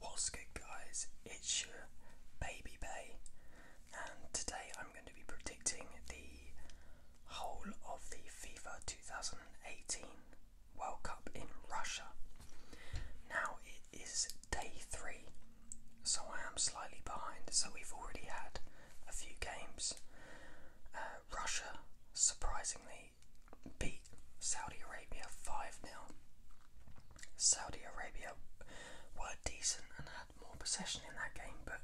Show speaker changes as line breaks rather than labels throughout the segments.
What's good guys, it's your Baby Bay and today I'm going to be predicting the whole of the FIFA 2018 World Cup in Russia. Now it is day three, so I am slightly behind, so we've already had a few games. Uh, Russia surprisingly beat Saudi Arabia 5 0. Saudi Arabia were decent and had more possession in that game, but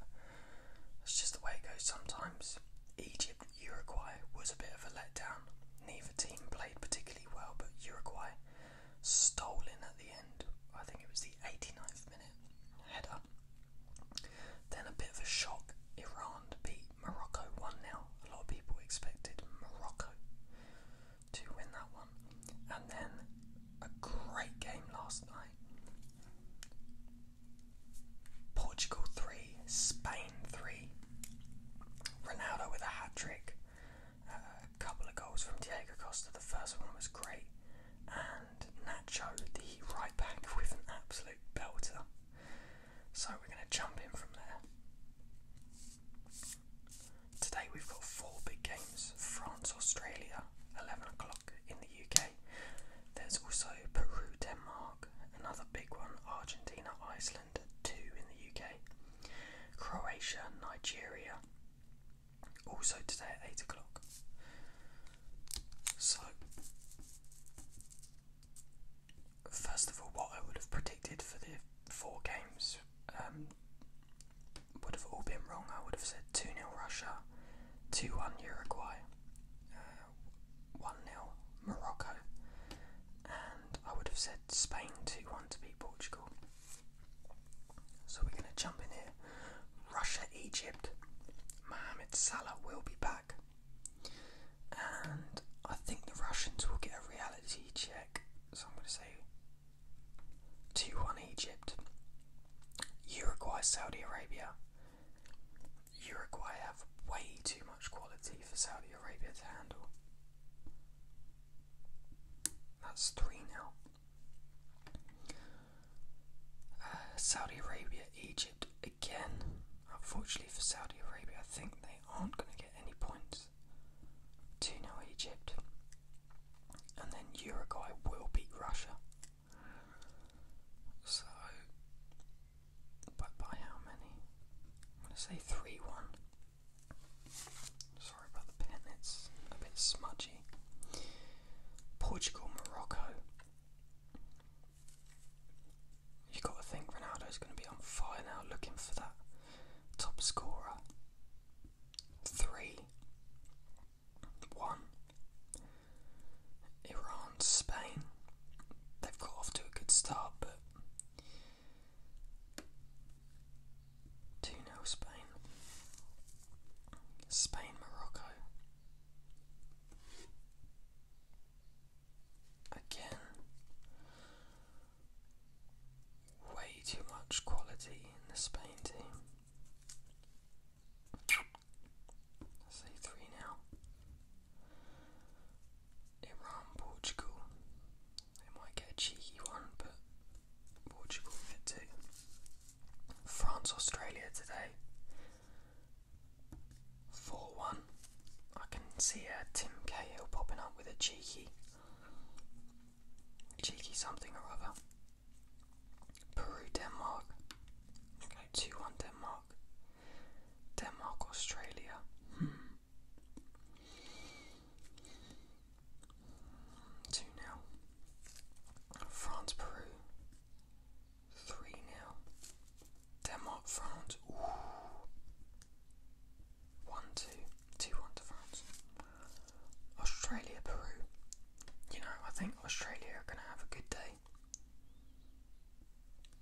that's just the way it goes sometimes. Egypt Uruguay was a bit of a letdown. Neither team played particularly well, but Uruguay stole in at the end. I think it was the 89th minute header. Then a bit of a shock. Iran beat Morocco one now. A lot of people expected Morocco to win that one. And then a great game last night. Portugal 3, Spain 3. Ronaldo with a hat trick. Uh, a couple of goals from Diego Costa. The first one was great. And Nacho, the right back, with an absolute belter. So we're going to jump in from there. Today we've got four big games France, Australia, 11 o'clock in the UK. There's also Peru, Denmark, another big one, Argentina, Iceland, 2 in the UK, Croatia, Nigeria, also today at 8 o'clock. So first of all, what I would have predicted for the four games um, would have all been wrong. I would have said 2 0 Russia, 2 1 Uruguay, uh, 1 uh, 0 Morocco, and I would have said Spain 2 1 to beat Portugal. So we're going to jump in here. Russia Egypt. Mohamed Salah will be back. And I think the Russians will get a reality check. So I'm going to say 2 1 Egypt. Uruguay, Saudi Arabia. Uruguay have way too much quality for Saudi Arabia to handle. That's three now. Uh, Saudi Arabia, Egypt again. Unfortunately for Saudi Arabia, I think they aren't going to get any points. To 2 Egypt, and then Uruguay will beat Russia. So, but by how many? I'm going to say 3 1. Sorry about the pen, it's a bit smudgy. Portugal, Morocco. You've got to think Ronaldo is going to be on fire now, looking for that top scorer. Three, one. Iran, Spain. They've got off to a good start, but 2 0 Spain. Spain, Morocco. Again, way too much quality in this painting. team. three now. Iran, Portugal. They might get cheeky one, but Portugal get two. France, Australia today. 4 1. I can see uh, Tim Cahill popping up with a cheeky, cheeky something or other. Peru, Denmark. Okay, 2 1 Denmark. Denmark, Australia. Hmm. 2 0. France, Peru. 3 0. Denmark, France. 1 to France. Australia, Peru. You know, I think Australia are going to have a good day.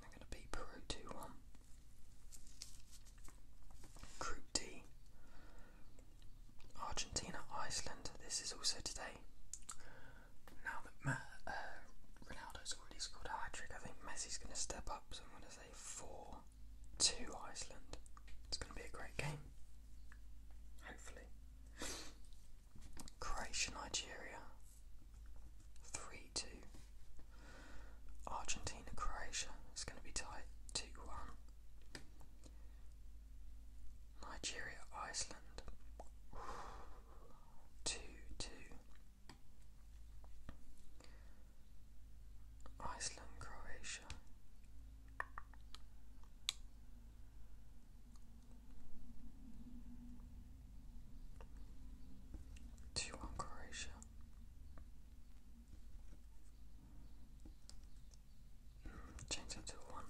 They're going to beat Peru 2 1. Group D Argentina, Iceland. This is also today. Now that uh, Ronaldo's already scored a hat trick, I think Messi's going to step up, so I'm going to say 4 to Iceland. It's going to be a great game. Hopefully. Croatia, Nigeria. 3 2. Argentina, Croatia. It's going to be tight. 2 1. Nigeria, Iceland. 2 2. Iceland, Croatia. Two on Croatia. change it to one.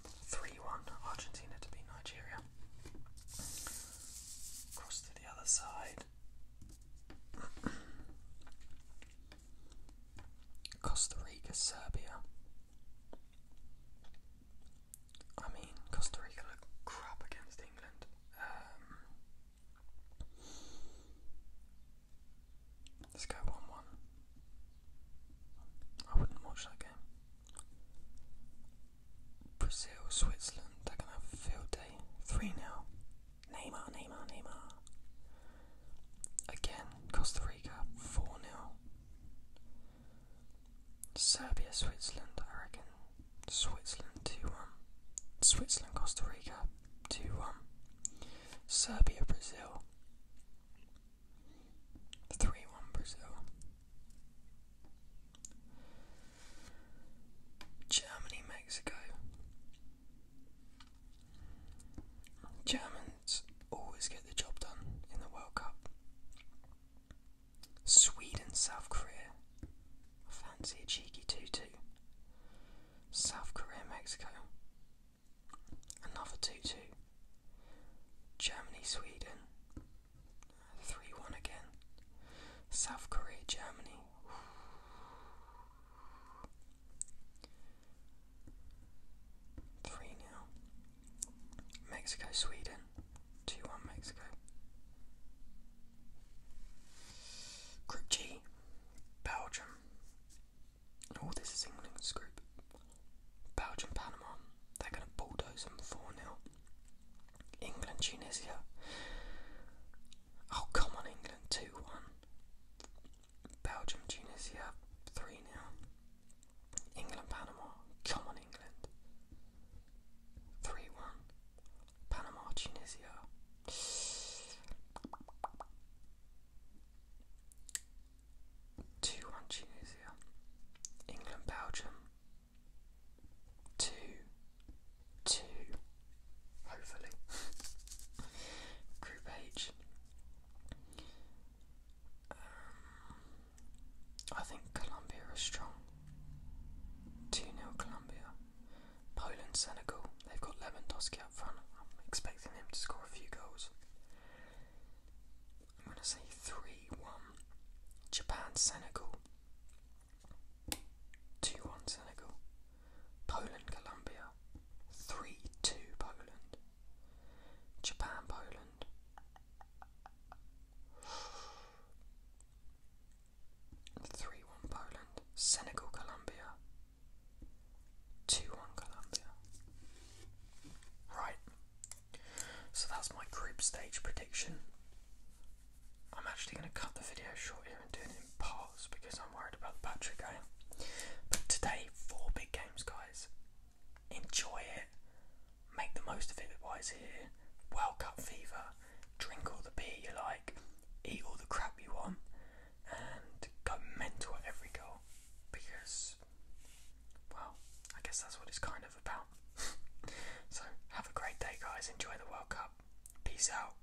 Argentina to be Nigeria. Cross to the other side. Costa Rica, Serbia. I mean, Costa Rica look crap against England. Um, let's 1 I wouldn't watch that game. Brazil, Switzerland, they're going to have field day. 3 now. Neymar, Neymar, Neymar. Again, Costa Rica 4 0. Serbia, Switzerland, I reckon. Switzerland 2 1. Switzerland, Costa Rica 2 1. Serbia, Brazil 3 1 Brazil. Germany, Mexico Germans always get the job done in the World Cup. Sweden, South Korea. I fancy a cheeky 2 2. South Korea, Mexico. Another 2 2. Germany, Sweden. 3 1 again. South Korea, Germany. Three now. Mexico, Sweden. Two one Mexico. Group G, Belgium. All this is England's group. Belgium, Panama. They're gonna bulldoze them four 0 England, Tunisia. Oh, come on, England, 2 1. Belgium, Tunisia, 3 0. England, Panama, come on, England. 3 1. Panama, Tunisia. Two one Tunisia, England Belgium. Two, two, Hopefully. Group H. Um, think Colombia is strong. 2 0 Colombia. Poland, Senegal. They've got Lewandowski up front. I'm expecting him to score a few goals. I'm going to say 3 1. Japan, Senegal. 2 1 Senegal. Poland Colombia 3 2 Poland. Japan Poland. Three one Poland, Senegal Colombia, two one Colombia. Right, so that's my group stage prediction. I'm actually going to cut the video short here it in parts because I'm worried about the battery game. But today, four big games, guys. Enjoy it. Make the most of it while it's here. World Cup fever. Drink all the beer you like. Eat all the crap you want. And go mental at every goal. Because, well, I guess that's what it's kind of about. so, have a great day, guys. Enjoy the World Cup. Peace out.